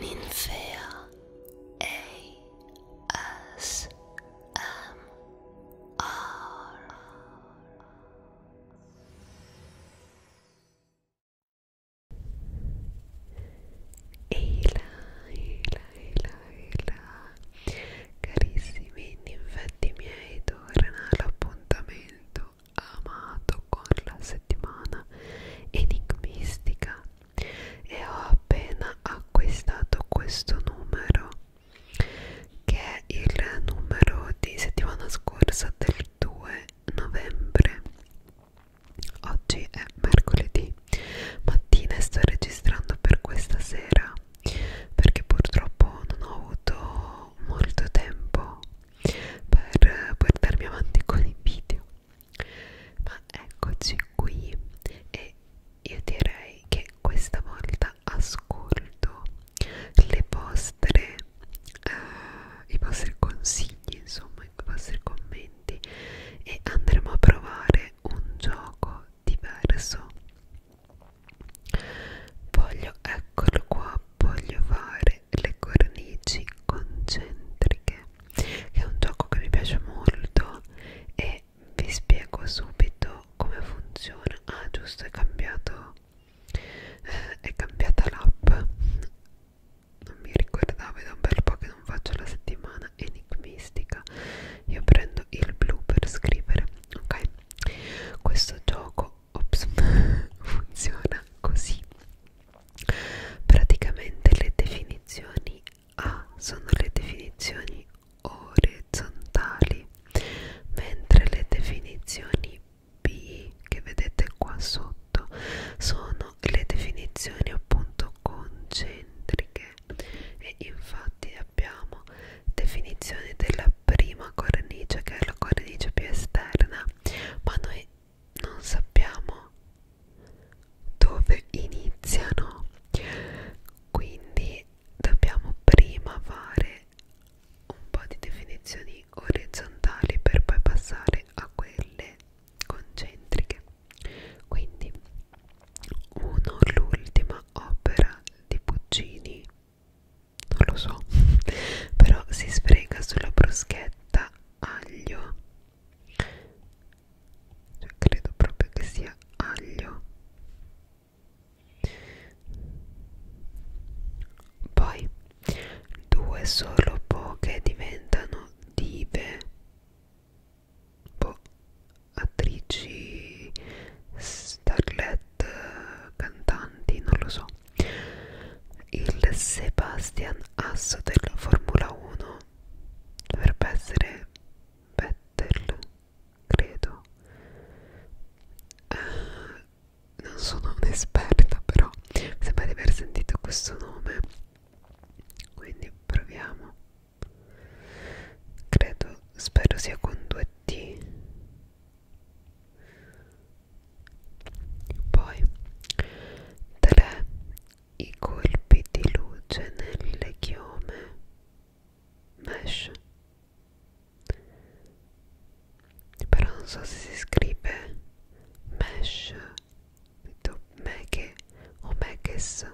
Ninfea ASMR Eila, Eila, Eila, Eila Carissimi ninfetti miei torna all'appuntamento amato con la settimana strana, enigmistica e ho appena acquistato questo numero che è il numero di settimana scorsa del 2 novembre oggi è mercoledì mattina e sto registrando per questa sera perché purtroppo non ho avuto molto tempo per eh, portarmi avanti con i video ma eccoci qui e io direi che questa volta ascolto le vostre eh, i vostri consigli insomma i vostri commenti e andremo a provare un gioco diverso voglio eccolo qua voglio fare sempre le cornici concentriche che è un gioco che mi piace molto e vi spiego subito come funziona ah giusto è cambiato eh, è cambiata l'app non mi ricordavo è da un bel po' che non faccio la settimana enigmistica io prendo il blu per scrivere ok questo gioco ops, funziona così praticamente le definizioni A sono le definizioni orizzontali mentre le definizioni B che vedete qua sotto sono le definizioni appunto concentriche e infatti abbiamo definizione della prima cornice che è la cornice più esterna ma noi non sappiamo dove iniziano quindi dobbiamo prima fare un po' di definizioni orizzontali per poi passare a quelle concentriche quindi uno l'ultima opera di Puccini non lo so però si sfrega sulla bruschetta aglio cioè, credo proprio che sia aglio poi due solo poche diventano dive boh, attrici starlet cantanti non lo so il Sebastian Asso della Formula 1 dovrebbe essere Vettel credo uh, non sono un'esperta però mi sembra di aver sentito questo nome quindi proviamo credo spero sia con 2t poi 3. I colpi di luce nelle chiome mesh però non so se si scrive mesh meghe o meghes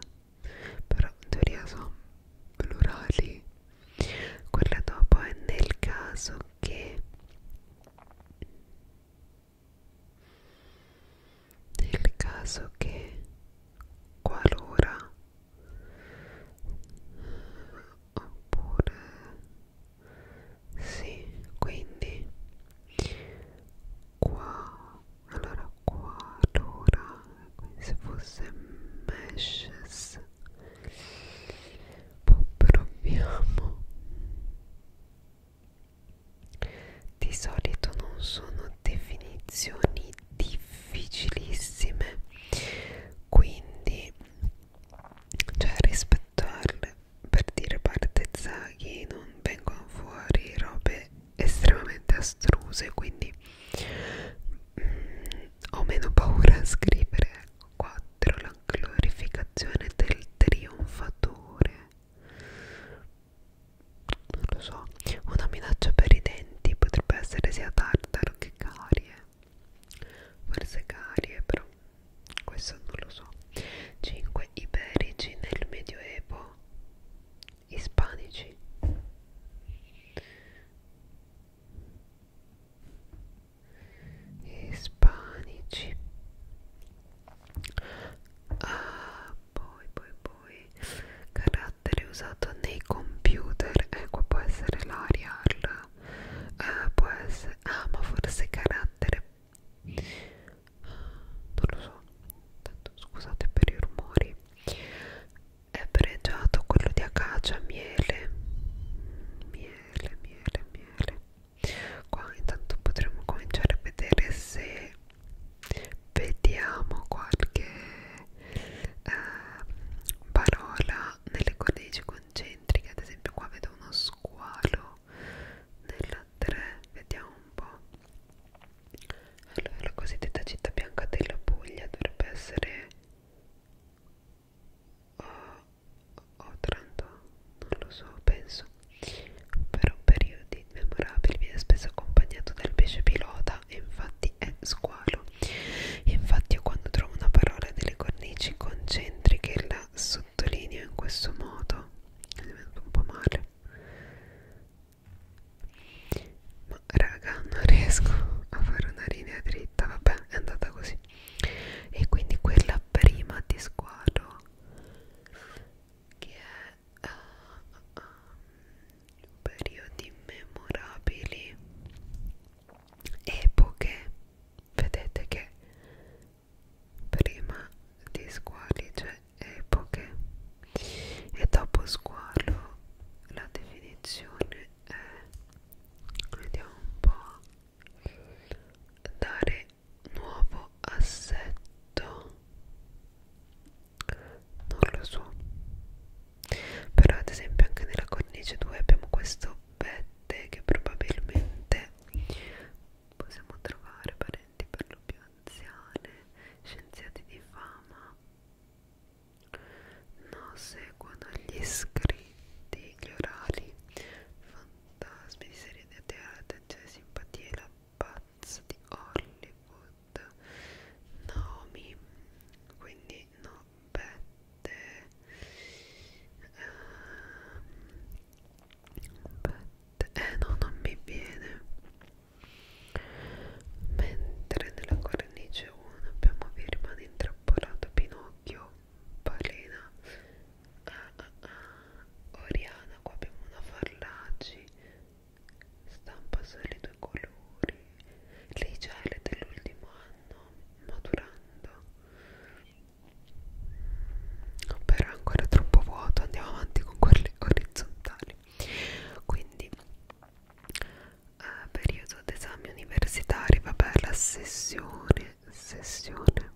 però in teoria sono plurali quella dopo è nel caso che nel caso che qualora oppure sì quindi qua allora qua allora quindi se fosse meshes poi proviamo di solito non sono definizioni difficilissime, quindi cioè rispettarle per dire partezaghi non vengono fuori robe estremamente astruse, quindi mm, ho meno paura a scrivere. Qua 4 la glorificazione del trionfatore non lo so una minaccia per i denti potrebbe essere sia tartaro che carie forse carie però questo non lo so 5 iberici nel medioevo ispanici ispanici ah, poi poi poi carattere usato nei computer ecco può essere l'arial eh, può essere ah ma forse carattere non lo so tanto scusate per i rumori è pregiato quello di acacia miele miele miele miele qua intanto potremmo cominciare a vedere se vediamo qualche eh, parola nelle cornici concentriche ad esempio qua vedo uno squalo nella 3 vediamo un po' allora la cosiddetta città bianca della Puglia dovrebbe essere o, o 30, non lo so, penso. Per un periodo immemorabile viene spesso accompagnato dal pesce pilota e infatti è squalo. Infatti io quando trovo una parola delle cornici concentriche la sottolineo in questo modo. Mi venuto un po' male. Ma raga, non riesco a fare una linea dritta, vabbè, è andata così e quindi quella prima di squadro che è uh, um, periodi memorabili epoche vedete che prima di squali c'è cioè epoche e dopo squalo la definizione è vediamo un po' dare nuovo assetto non lo so però ad esempio anche nella cornice 2 abbiamo questo vette che probabilmente possiamo trovare parenti per lo più anziane scienziati di fama no seguono gli iscritti gli orali fanno da spedizione cioè di attenzione, simpatia e la pazza di Hollywood Naomi quindi no Bette um, Bette eh no non mi viene mentre nella cornice 1 abbiamo vi rimane intrappolato Pinocchio Balena ah oh, ah ah Oriana qua abbiamo una Farlaci stampa solo i due colori lei già è dell'ultimo anno maturando però è ancora troppo vuoto andiamo avanti con quelle orizzontali quindi eh, periodo d'esami universitari vabbè la sessione sessione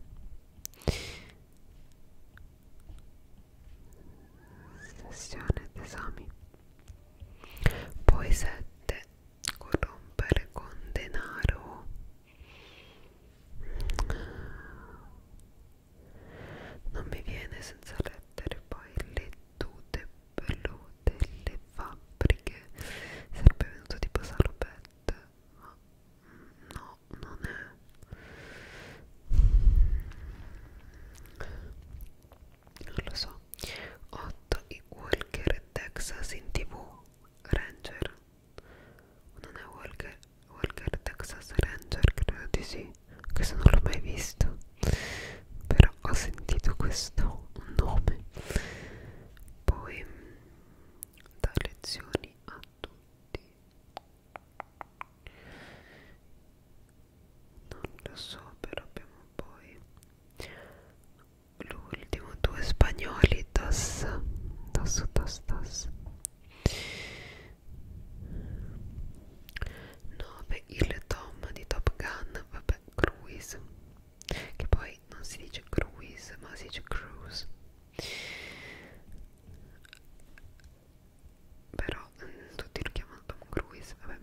sessione d'esami poi 7 corrompere con denaro non mi viene senza lettere poi le tute pelute le fabbriche sarebbe venuto tipo salopetto ma no, non è non lo so 8 i Walker Texas in tv Ranger non è Walker Walker Texas Ranger credo di sì questo non l'ho mai visto però ho sentito questo nome poi dà lezioni a tutti non lo so però abbiamo poi l'ultimo due spagnoli dos dos dos dos 9 il Tom di Top Gun vabbè Cruise che poi poi non si dice cruise ma si dice cruise però mh, mm, tutti lo chiamano Tom Cruise vabbè.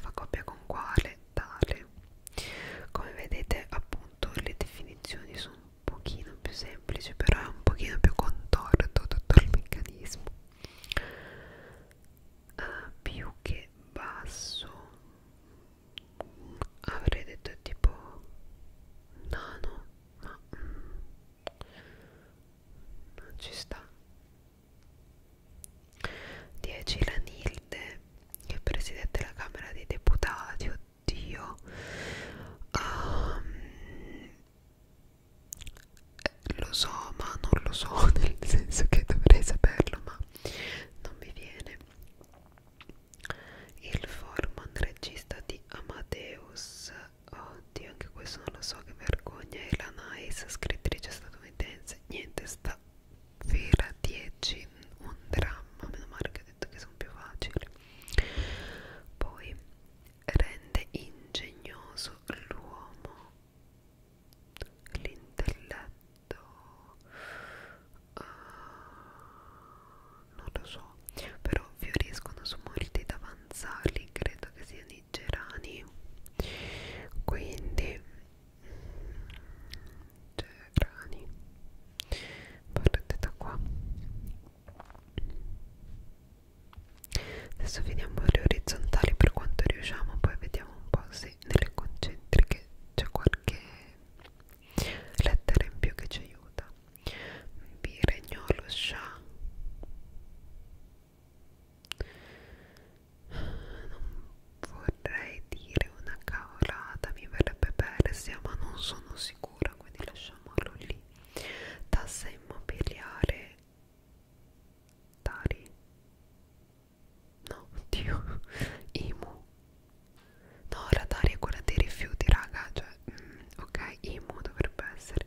fa coppia con quale tale come vedete appunto le definizioni sono un pochino più semplici però è un pochino più contorto tutto il meccanismo uh, più che basso avrei detto tipo nano ma mm, non ci sta 10 la Nilde che è presidente della Camera dei Deputati oddio um, lo so ma non lo so nel senso che dovrei saperlo ma non mi viene il Forman, regista di Amadeus, oddio anche questo non lo so, che vergogna, e la Nice, scrittrice statunitense, niente, sta vera 10, un dramma, meno male che ho detto che sono più facili. Poi rende ingegnoso l'uomo, l'intelletto Uh, non lo so però fioriscono su molti davanzali credo che siano i gerani quindi mm, gerani partite da qua adesso vediamo le orizzontali per quanto riusciamo poi vediamo un po' se nelle concentriche c'è qualche lettera in più che ci aiuta Biregnolo Shah non vorrei dire una cavolata mi verrebbe persia ma non sono sicura quindi lasciamolo lì tassa immobiliare Tari No, oddio Imu No, radar è quella dei rifiuti, raga Cioè, mm, ok, Imu dovrebbe essere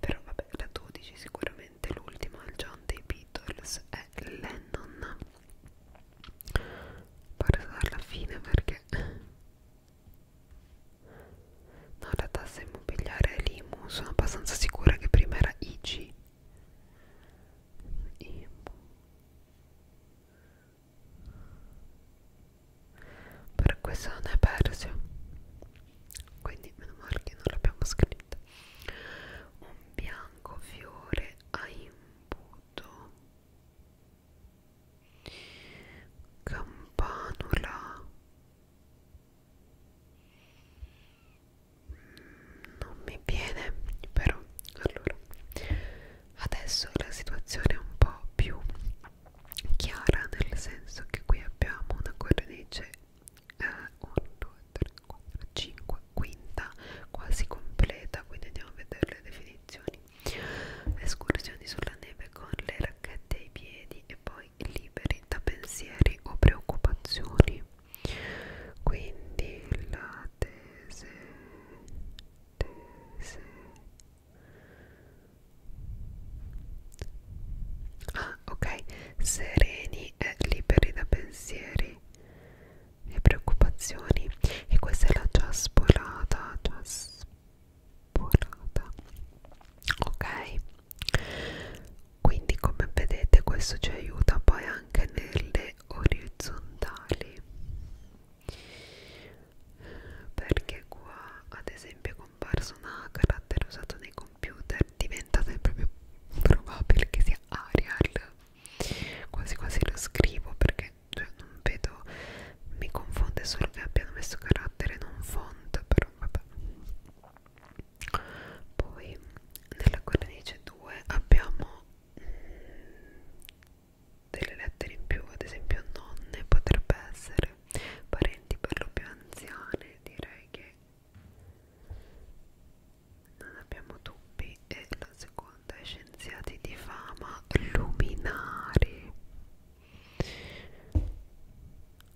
Però vabbè, la 12 sicuramente L'ultima, il John dei Beatles È Lennon Parto dalla fine perché No, la tassa immobiliare è l'IMU Sono abbastanza sicura che prima era IG IMU per questo non è Persia quindi meno male che non l'abbiamo scritto un bianco fiore a imbuto campanula non mi viene però allora adesso la situazione è un po' più chiara nel senso che qui abbiamo una cornice 1 2 3 4 5 quinta quasi completa quindi andiamo a vedere le definizioni escursioni sulla neve con le racchette ai piedi e poi liberi da pensieri o preoccupazioni quindi la tese tese ah ok sereni e liberi da pensieri e preoccupazioni e questa è la già spolata già spolata ok quindi come vedete questo ci aiuta poi anche nelle orizzontali perché qua ad esempio è comparso una carattere usato nei computer diventa sempre più probabile che sia Arial quasi quasi lo scrivo perché cioè, non vedo mi confonde solo che abbiano messo carattere non font però vabbè poi nella cornice 2 abbiamo delle lettere in più, ad esempio nonne potrebbe essere parenti per lo più anziane, direi che non abbiamo dubbi e la seconda è scienziati di fama luminari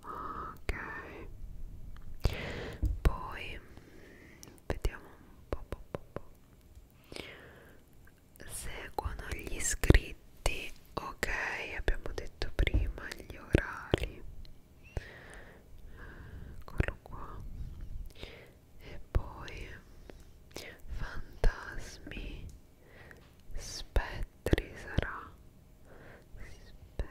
ok poi vediamo un po', po, po, po. seguono gli iscritti ok abbiamo detto prima gli orali eccolo qua e poi fantasmi spettri sarà spettri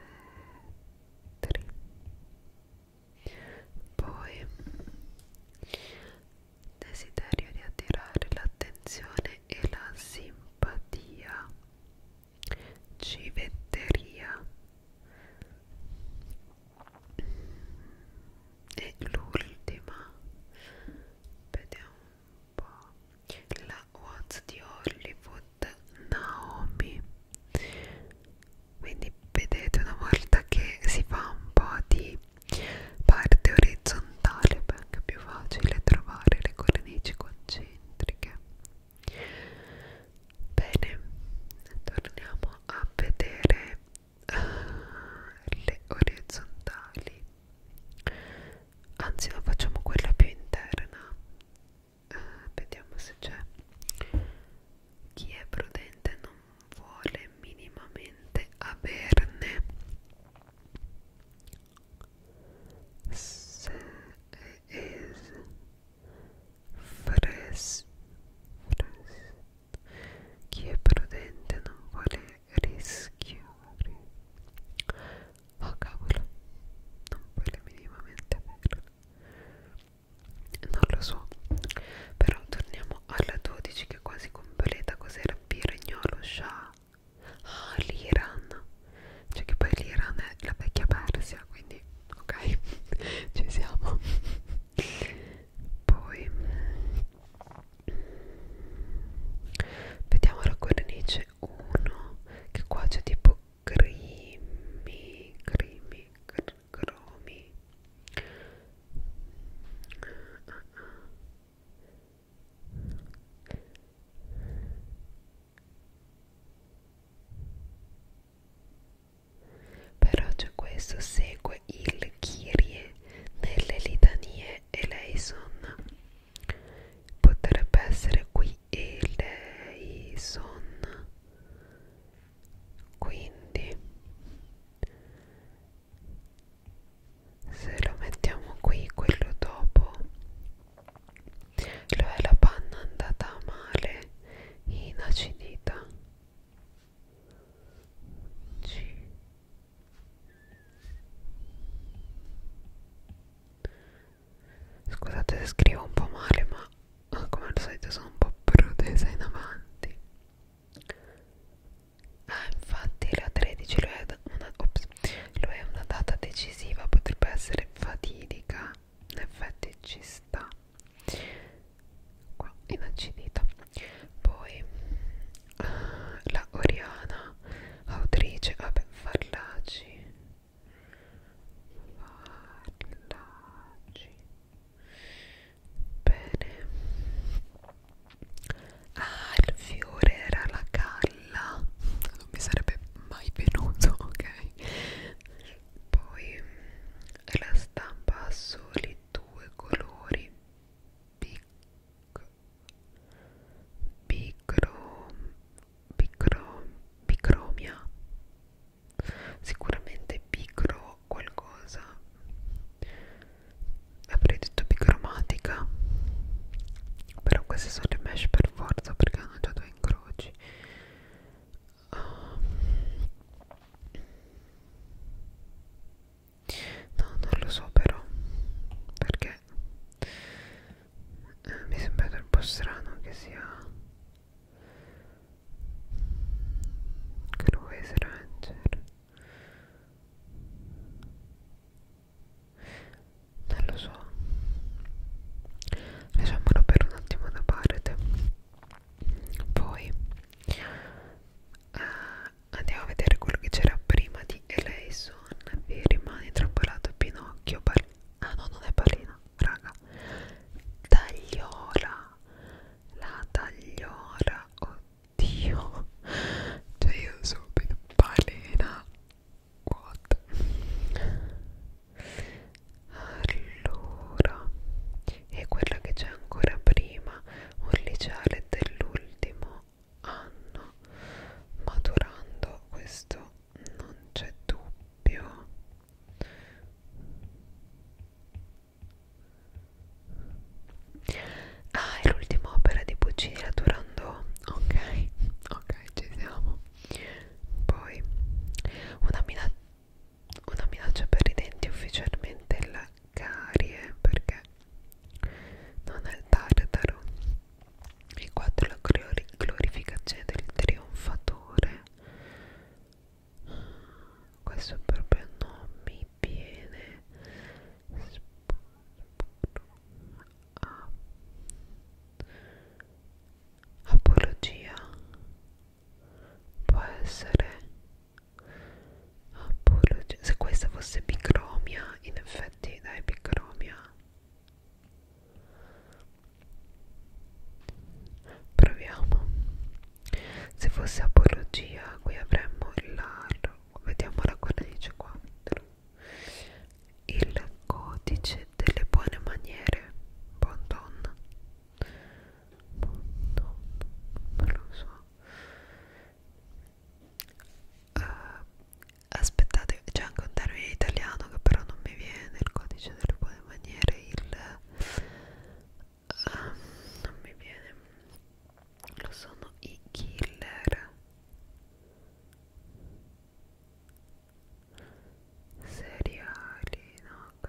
poi desiderio di attirare l'attenzione e la simpatia, civetteria e l'ultima, vediamo un po', la What's di Hollywood Naomi quindi vedete una volta che si fa un po' di parte orizzontale è anche più facile trovare le cornici concentriche bene torniamo a vedere uh, le orizzontali anzi no facciamo quella più interna uh, vediamo se c'è chi è prudente non vuole minimamente averne se es fres, fres chi è prudente non vuole rischiare oh cavolo non vuole minimamente averlo non lo so però torniamo alla 12 che è quasi completa cos'era Piragnolo Shah ah l'Iran cioè che poi l'Iran è la vecchia Persia quindi ok ci siamo poi vediamo la cornice 1 che qua c'è tipo crimi crimi crimi cromi però c'è questo segue il Kyrie nelle litanie eleison potrebbe essere qui eleison quindi se lo mettiamo qui quello dopo lo è la panna andata male inacidita C scusate se scrivo un po' male ma ma come al solito sono un po' protesa in avanti ah infatti la 13 lo è una, ops, lo è una data decisiva potrebbe essere fatidica in effetti ci sta qua inaccidita poi ah, la Oriana autrice vabbè fallaci fallaci bene ah il fiore era la calla non mi sarebbe mai venuto ok poi la stampa ha soli due colori Bic bicro bicro bicromia sicuramente picro qualcosa avrei detto bicromatica però queste sono le mesh per forza perché hanno già due incroci um, no non lo so però perché eh, mi sembra un po' strano che sia Cruise Ranger non lo so lasciamolo per un attimo da parte poi uh, andiamo a vedere quello che c'era prima di Eleison vi rimane intrappolato Pinocchio ah no non è Palina raga tagliola la tagliola oddio cioè io subito balena what allora e quella che c'è ancora prima un liceale dell'ultimo anno maturando questo non c'è dubbio Ah, è l'ultima opera di Puccini, la Turandot. Ok, ok, ci siamo. Poi, una, mina una minaccia per i denti ufficialmente la carie, perché non è il tartaro. E 4 la glorificazione del trionfatore questo proprio non mi viene ah. apologia può essere apologia se questa fosse bicromia in effetti dai bicromia Proviamo. Se fosse apologia, qui avremmo l'ar. Vediamo la cornice 4. Il codice delle buone maniere. Bon ton. Bon ton. Non lo so. Uh, aspettate, c'è anche un termine italiano che però non mi viene il codice delle buone come maniere il um, non mi viene lo sono i killer seriali no un po'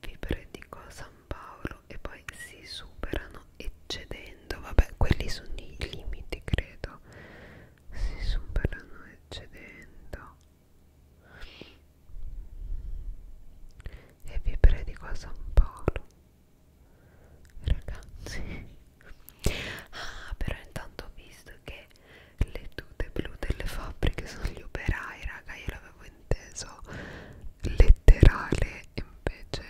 vi predico cosa San Paolo e poi si superano eccedendo, vabbè quelli sono i limiti credo, si superano eccedendo e vi predico a San Paolo ragazzi ah però intanto ho visto che le tute blu delle fabbriche sono gli operai raga io l'avevo inteso letterale invece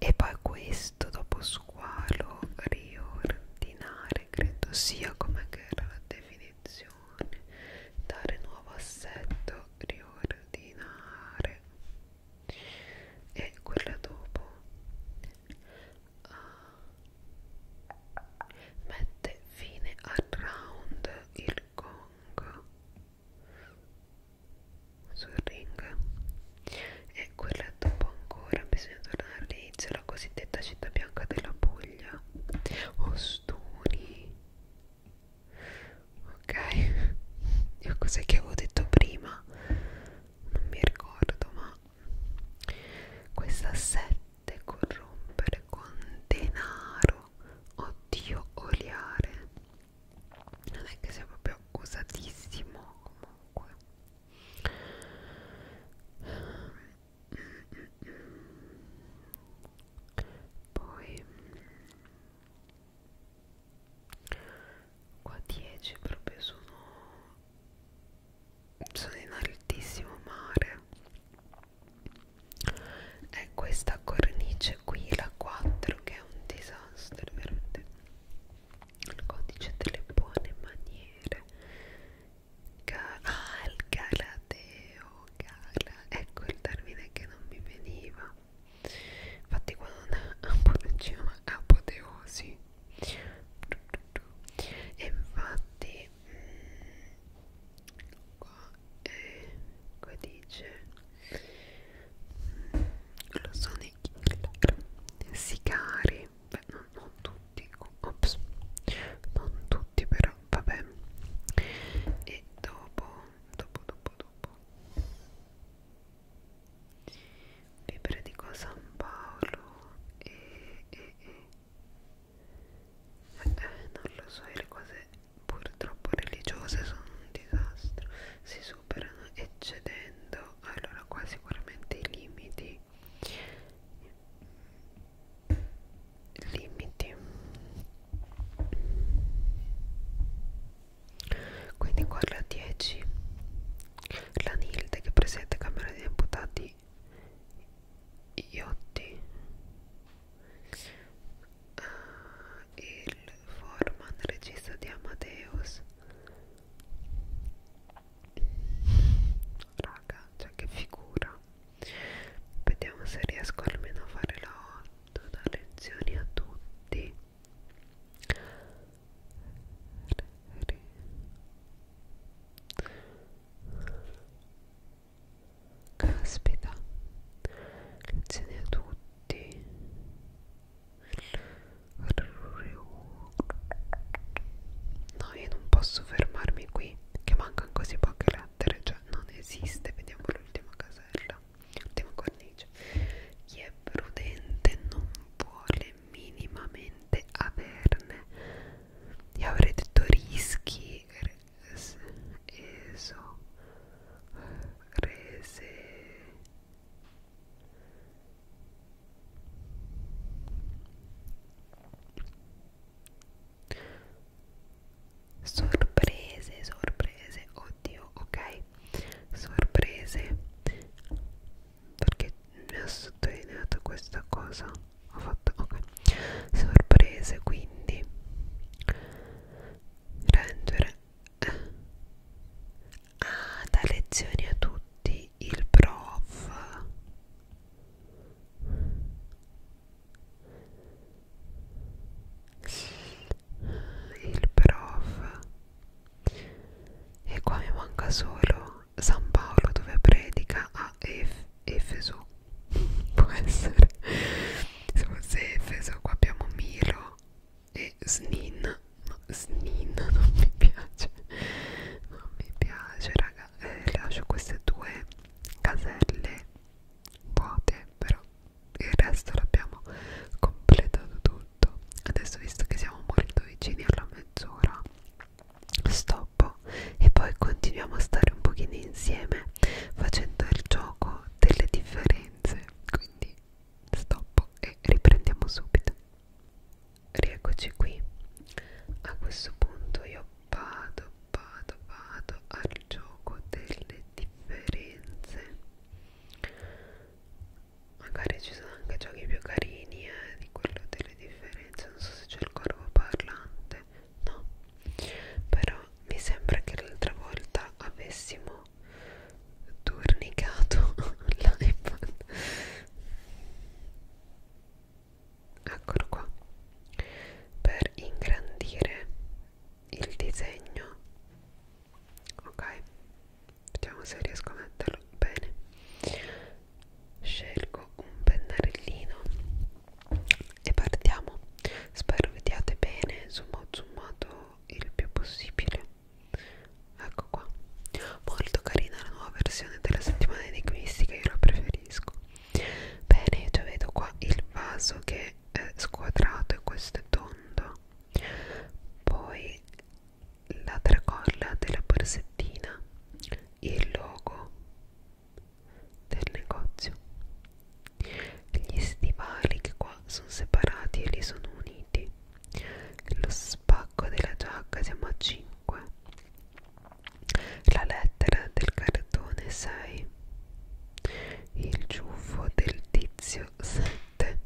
e poi questo dopo squalo riordinare credo sia come che era la definizione dare nuovo assetto riordinare e quella dopo ah, mette fine al round il gong sul ring e quella dopo ancora bisogna tornare all'inizio la cosiddetta città bianca della Puglia Ostuni ok io cos'è che avevo detto prima non mi ricordo ma questa sette corrompere con denaro oddio oliare non è che sia proprio usatissimo comunque poi qua 10 proprio sono sono in altissimo mare è questa cornice qui la 4 che è un disastro veramente il codice delle buone maniere Ga ah il galateo gala ecco il termine che non mi veniva infatti quando non diceva apoteosi e infatti mh, mm, e qua dice mm, lo sono i killer sicari beh non, non tutti ops non tutti però vabbè e dopo dopo dopo dopo Libere di San Paolo e, e, e eh, non lo so, le cose purtroppo religiose sono un disastro, si superano eccedendo allora qua sicuramente i limiti limiti quindi qua la 10 la Nilde che presiede Camera degli Imputati Iotti uh, il Foreman regista di Amadeus raga cioè che figura vediamo se riesco almeno a fare la 8 da lezioni a tutti Caspita, lezioni a tutti. No, io non posso fermarmi qui, che mancano così poche lettere, cioè non esiste. Vediamo l'ultima casella, l'ultima cornice. Chi è prudente non vuole minimamente averne. Io avrei detto rischi, eso rese sorprese sorprese oddio ok sorprese perché mi ha sottolineato questa cosa ho fatto ok sorprese quindi Ranger eh, ah dà lezioni a tutti il prof il prof e qua mi manca solo San Paolo dove predica a F Efeso può essere se fosse Efeso qua abbiamo Milo e Snin no, Snin non mi piace non mi piace raga eh, lascio queste due caselle vuote però il resto l'abbiamo completato tutto adesso visto che siamo molto vicini alla mezz'ora stoppo e poi continuiamo a stare un pochino insieme facendo il gioco delle differenze quindi stop e riprendiamo subito rieccoci qui a questo punto io vado vado vado al gioco delle differenze magari ci sono anche giochi più carini eh, di quello delle differenze non so se c'è il corvo parlante no però mi sembra che l'altra volta avessimo turnicato l'iPad eccolo qua per ingrandire il disegno ok vediamo se riesco a metterlo bene scelgo un pennarellino e partiamo spero vediate bene insomma ho zoomato il più possibile ecco qua molto carina la nuova versione della settimana enigmistica io la preferisco bene io già vedo qua il vaso che è squadrato e questo è tondo poi la tracolla della borsettina il logo del negozio gli stivali che qua sono separati e lì sono uniti lo spacco della giacca siamo a 5 la lettera del cartone 6 il ciuffo del tizio 7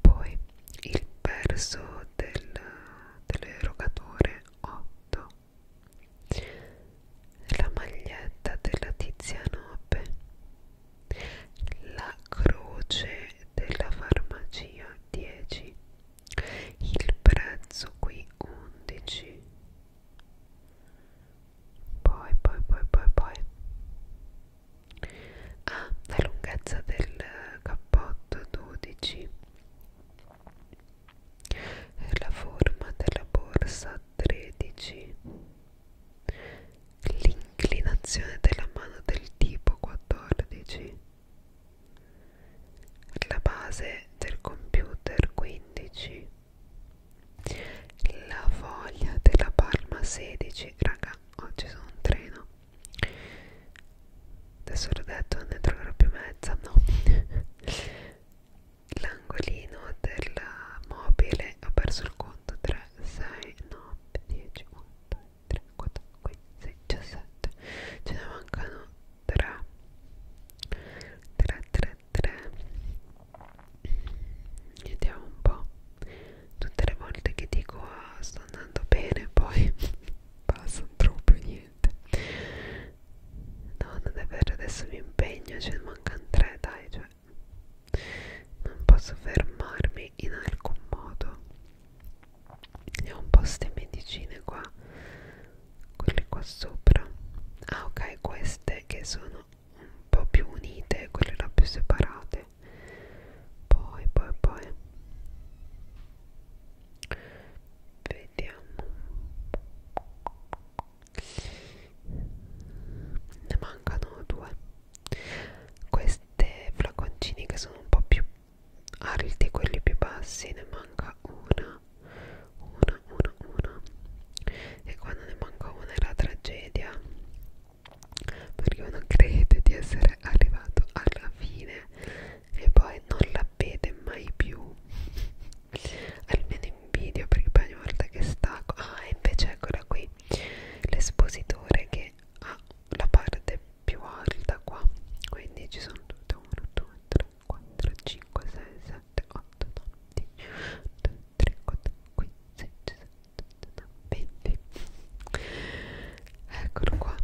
poi il verso del, dell'erogatore 8 la maglietta della tizia nobe la croce della farmacia 10 il prezzo qui 11 poi poi poi poi poi ah la lunghezza del cappotto 12 è la forma della borsa 13 l'inclinazione della mano del tipo 14 la base del computer 15 la foglia della palma 16 raga oggi sono un treno adesso l'ho detto non ne troverò più mezza no l'angolino del mobile ho perso il conto 3 6 9 10 1 2 3 4 5 6 17 ce ne mancano 3 3 3 3 vediamo un po' tutte le volte che dico ah, sto andando bene poi passano troppo niente niente no non è vero adesso mi impegno cioè mancano tre dai cioè non posso fermarmi in alcun modo e ho un po' ste medicine qua quelle qua sopra ah ok queste che sono un po' più unite quelle là più separate poi poi poi vediamo ne mancano due queste flaconcini che sono un po' più alti quelli più bassi ne manca una una una una e quando ne manca una è la tragedia perché uno crede di essere arrivato alla fine e poi non la vede mai più almeno in video perché poi ogni volta che stacco ah invece eccola qui l'espositore che ha la parte più alta qua quindi ci sono tutte 1 2 3 4 5 6 7 8 9 10 2 3 4 5 6 7 8 9 20 eccolo qua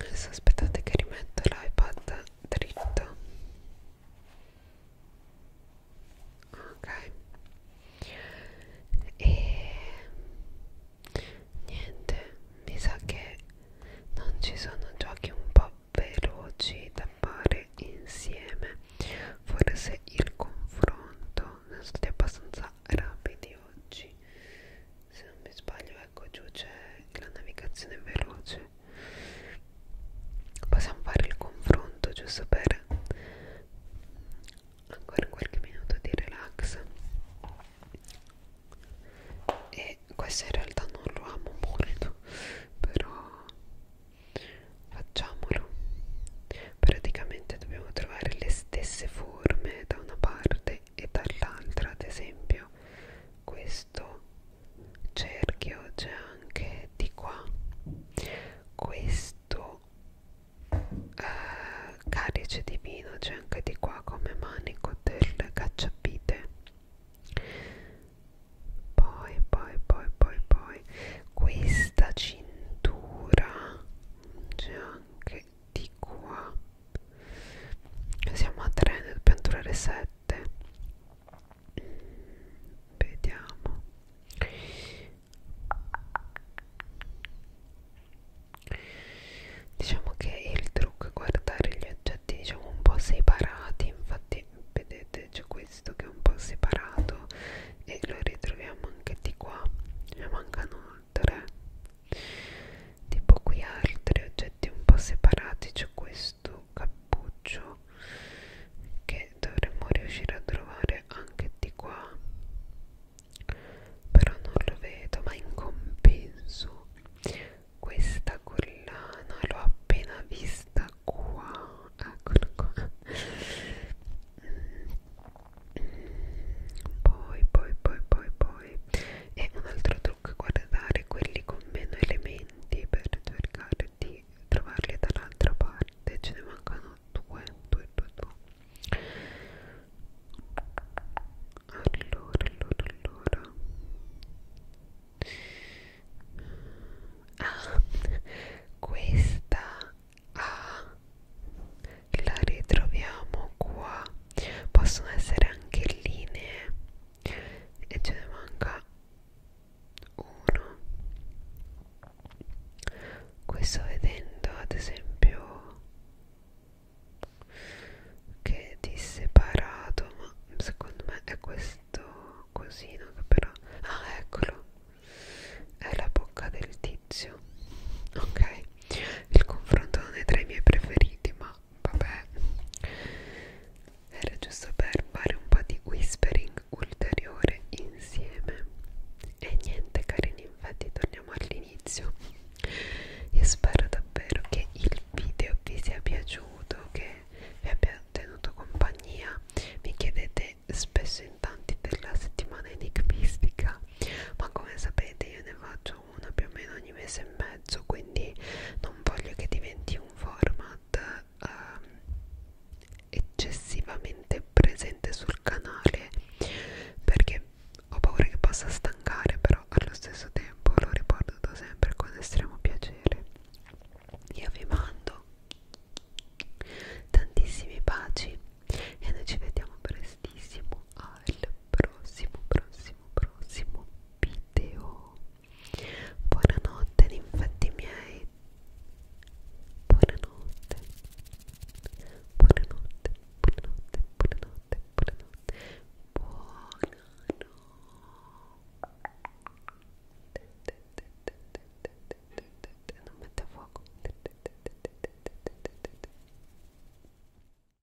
adesso aspettate che rimetto l'iPad dritto ok e niente mi sa che non ci sono giochi un po' veloci da fare insieme forse il confronto sono stati abbastanza rapidi oggi se non mi sbaglio ecco giù c'è la navigazione veloce possiamo fare il confronto giusto per ancora qualche minuto di relax e questo in realtà non lo amo molto però facciamolo praticamente dobbiamo trovare le stesse forme da una parte parte e dall'altra ad esempio questo cerchio c'è anche di qua questo eh, calice di vino c'è anche di qua come manico del cacciapite poi poi poi poi poi questa cintura c'è anche di qua siamo a 3 ne dobbiamo durare 7 vediamo diciamo che il trucco è guardare gli oggetti diciamo un po' separati infatti vedete c'è questo che è un po' separato e lo ritroviamo anche di qua ne mancano 3 tipo qui altri oggetti un po' separati c'è questo cappuccio che dovremmo riuscire a trovare anche di qua però non lo vedo ma in compenso questa collana l'ho appena vista qua eccola qua mm. poi poi poi poi poi e un altro trucco è guardare quelli con meno elementi per cercare di trovarli dall'altra parte ce ne mancano due due due due allora allora allora ah questa ah la ritroviamo qua possono essere anche linee e ce ne manca uno qui sto vedendo ad esempio che è disseparato ma secondo me è questo cosino che però ah eccolo è la bocca del tizio ok il confronto non è tra i miei preferiti ma vabbè era giusto per fare un po' di whispering ulteriore insieme e niente carini infatti torniamo all'inizio io spero davvero che il video vi sia piaciuto che vi abbia tenuto compagnia mi chiedete spesso in tanti della settimana enigmistica ma come sapete io ne faccio una più o meno ogni mese e mezzo quindi non voglio che diventi un format um, eccessivamente presente sul canale perché ho paura che possa stancare però allo stesso tempo lo riporto sempre con estremo piacere io vi mando tantissimi baci e noi ci vediamo prestissimo al prossimo, prossimo, prossimo video. Buonanotte, infatti miei. Buonanotte. Buonanotte, buonanotte, buonanotte, buonanotte. Buonanotte. Non mette a fuoco.